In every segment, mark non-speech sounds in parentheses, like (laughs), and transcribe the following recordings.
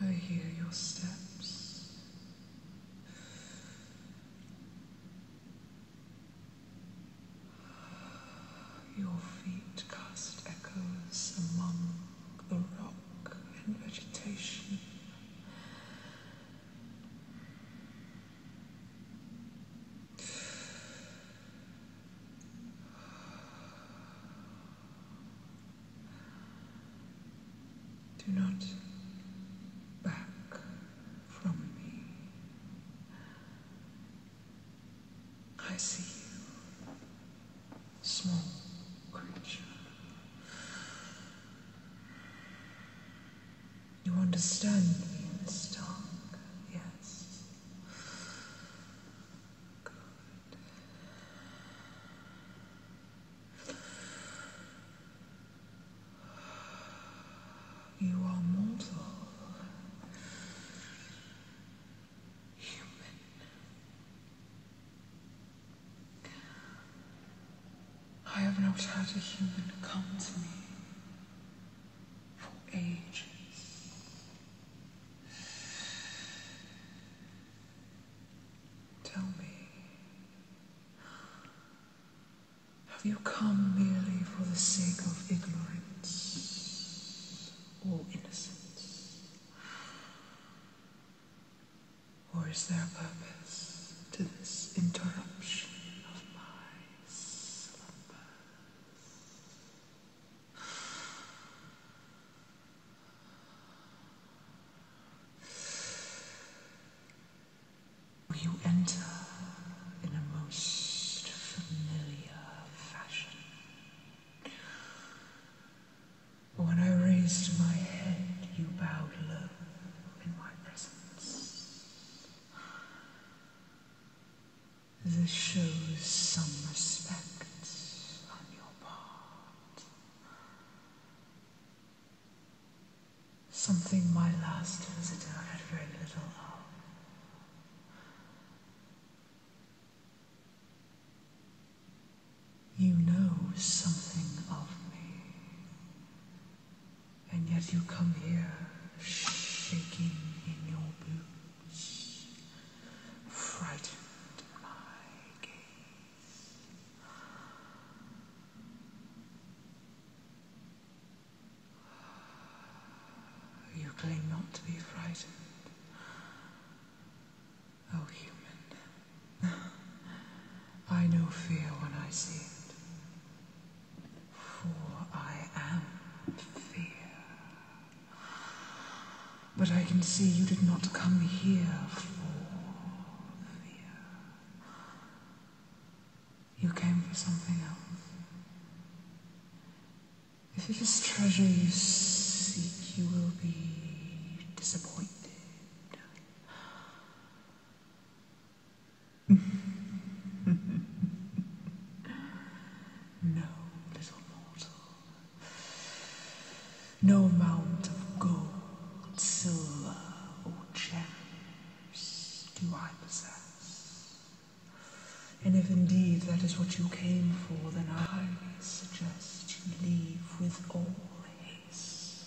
I hear your steps. Your feet cast echoes among the rock and vegetation. Do not back from me. I see you, small creature. You understand me, Miss Stark, yes. Good. You are mortal. Human. I have not had a human come to me for ages. Tell me, have you come merely for the sake of ignorance or innocence? Or is there a purpose to this interruption of mine? You enter in a most familiar fashion. When I raised my head, you bowed low in my presence. This shows some respect on your part. Something my last visitor had very little of. You know something of me. And yet you come here shaking in your boots, frightened my gaze. You claim not to be frightened, oh human. (laughs) I know fear when I see it for I am fear. But I can see you did not come here for fear. You came for something else. If it is treasure you seek, you will be disappointed no, little mortal. No amount of gold, silver, or gems do I possess. And if indeed that is what you came for, then I highly suggest you leave with all haste.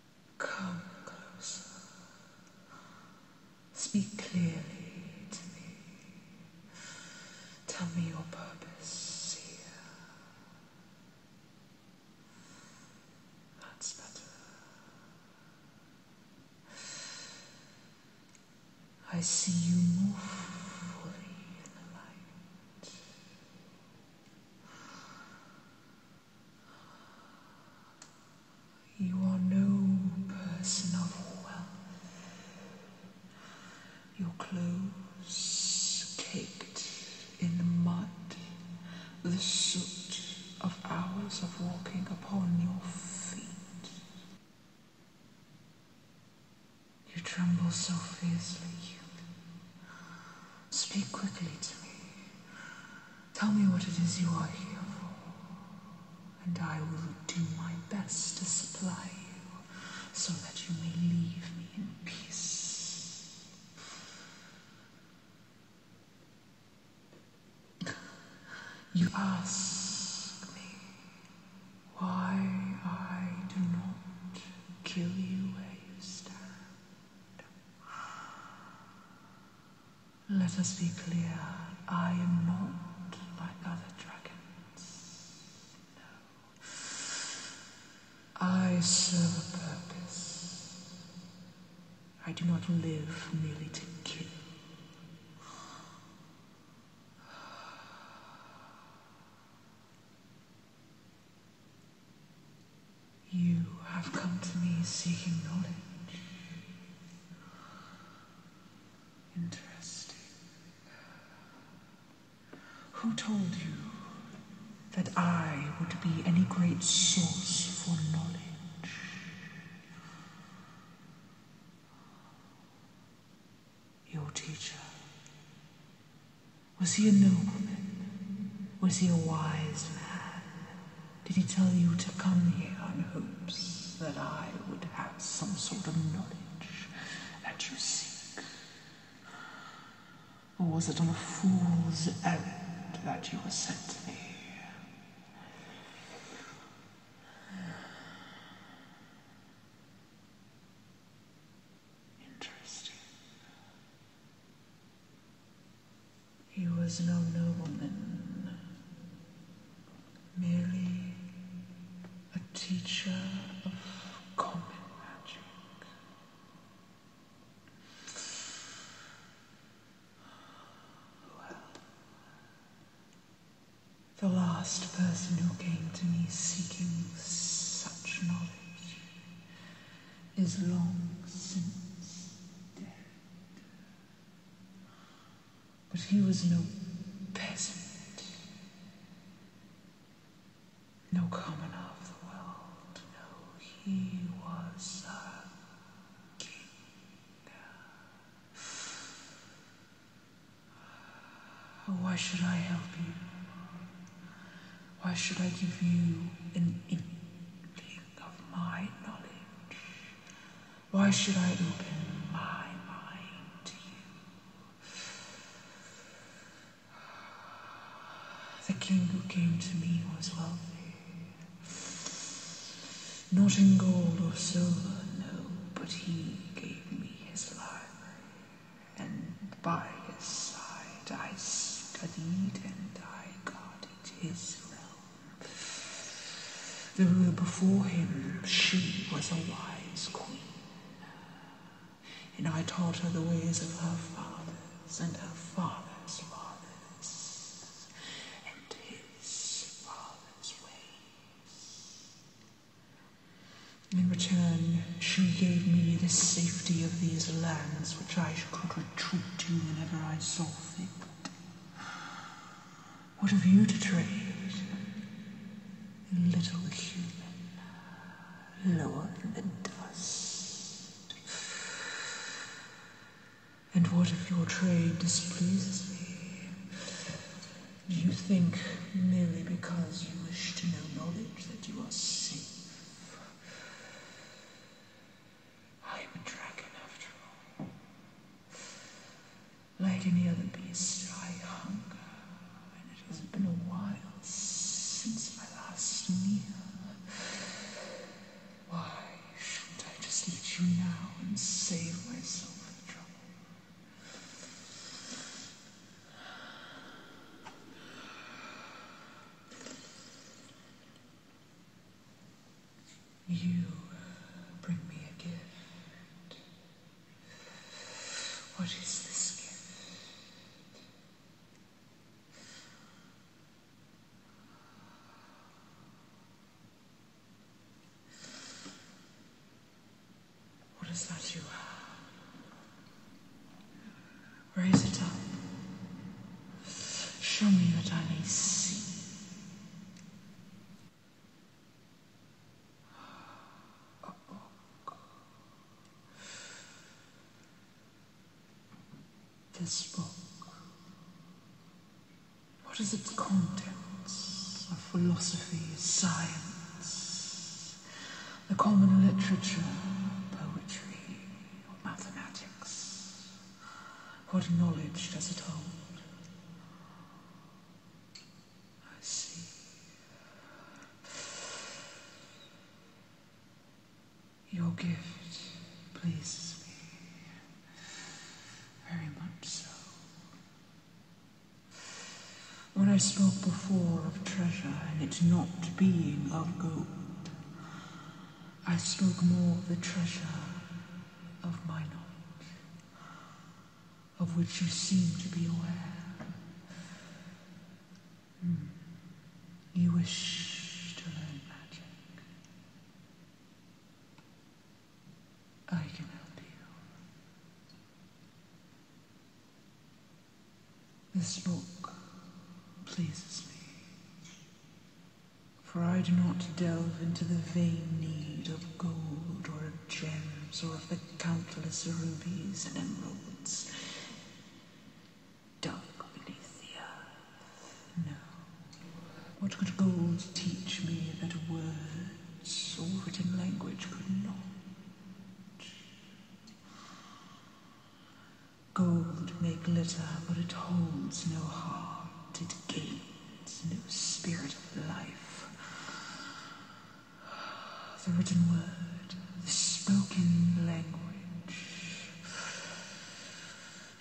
Come closer. Speak clearly to me. Tell me your purpose here. That's better. I see you more fully in the light. You are no person of wealth. Your clothes caked in the mud, the soot of hours of walking upon your feet. You tremble so fiercely. Speak quickly to me. Tell me what it is you are here for, and I will do my best to supply you so that you may leave me in peace. You ask me why I do not kill you where you stand. Let us be clear, I am not like other dragons. No. I serve a purpose. I do not live merely to kill. You have come to me seeking knowledge. Interesting. Who told you that I would be any great source for knowledge? Your teacher. Was he a nobleman? Was he a wise man? Did he tell you to come here in hopes that I would have some sort of knowledge that you seek? Or was it on a fool's errand that you were sent to me? Interesting. He was no nobleman, merely a teacher of common magic. Well, the last person who came to me seeking such knowledge is long since dead. But he was no peasant, no commoner of the world. No, he was a king. Why should I help you? Why should I give you an inkling of my knowledge? Why should I open my mind to you? The king who came to me was wealthy. Not in gold or silver, no, but he gave me his library. And by his side I studied and I guarded his realm. There were before him, she was a wise queen, and I taught her the ways of her fathers and her father's fathers, and his father's ways. In return, she gave me the safety of these lands which I could retreat to whenever I saw fit. What have you to trade little human lower than dust? And what if your trade displeases me? Do You think merely because you wish to know knowledge that you are safe. I'm a dragon after all. Like any other beast, I hunger, and it has been a while since my last meal. Why shouldn't I just eat you now and save myself? trouble? You uh, bring me a gift. What is this gift? What is that you have? Raise it up. Show me that I may see. This book, what is its contents? A philosophy, science, the common literature, poetry, or mathematics? What knowledge does it hold? I see. Your gift pleases me very much so. When I spoke before of treasure and it not being of gold, I spoke more of the treasure of my knowledge of which you seem to be aware. Hmm. You wish to learn magic. I can help you. This book pleases me. For I do not delve into the vain need of gold or of gems or of the countless rubies and emeralds dug beneath the earth. No. What could gold teach me that words or written language could not? Gold may glitter, but it holds no heart. It gapes this new spirit of life. The written word, the spoken language,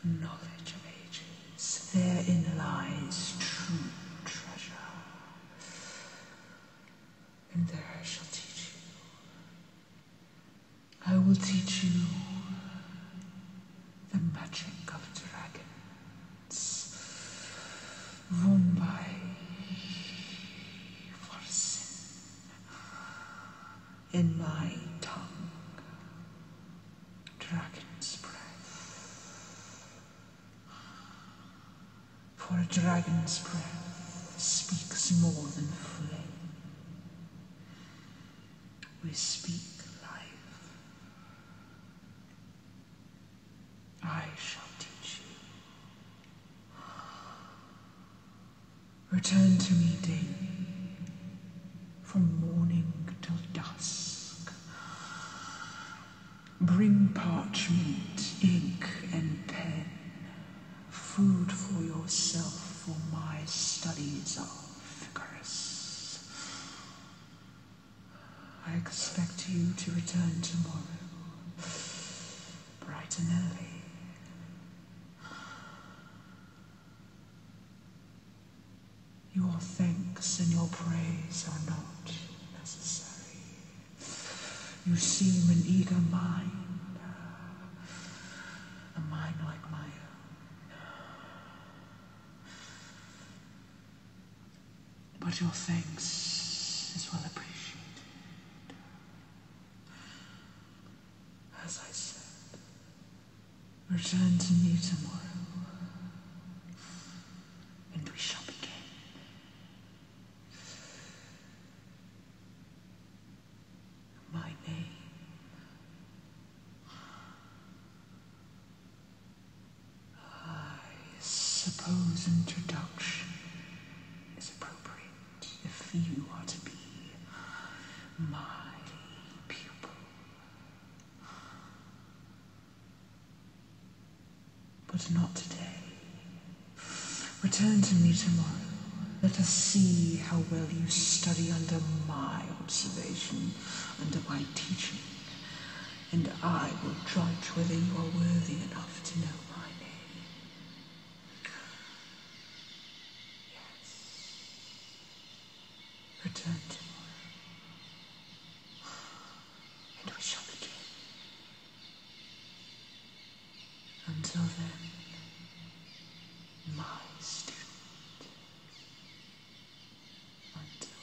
knowledge of ages. Therein lies true treasure. And there I shall teach you. I will teach you the magic of dragons. Mumbai by sin in my tongue. Dragon's breath. For a dragon's breath speaks more than flame. We speak life. I shall teach you. Return to me daily, from morning till dusk. Bring parchment, ink, and pen, food for yourself for my studies are vigorous. I expect you to return tomorrow, bright and early. Your thanks and your praise are not necessary. You seem an eager mind, a mind like my own but your thanks is well appreciated. As I said, return to me tomorrow, and we shall begin. My name I suppose introduction is appropriate if you are to be my pupil. But not today. Return to me tomorrow. Let us see how well you study under my observation, under my teaching and I will judge whether you are worthy enough to know my name. Yes. Return tomorrow, and we shall begin. Until then, my student. Until then.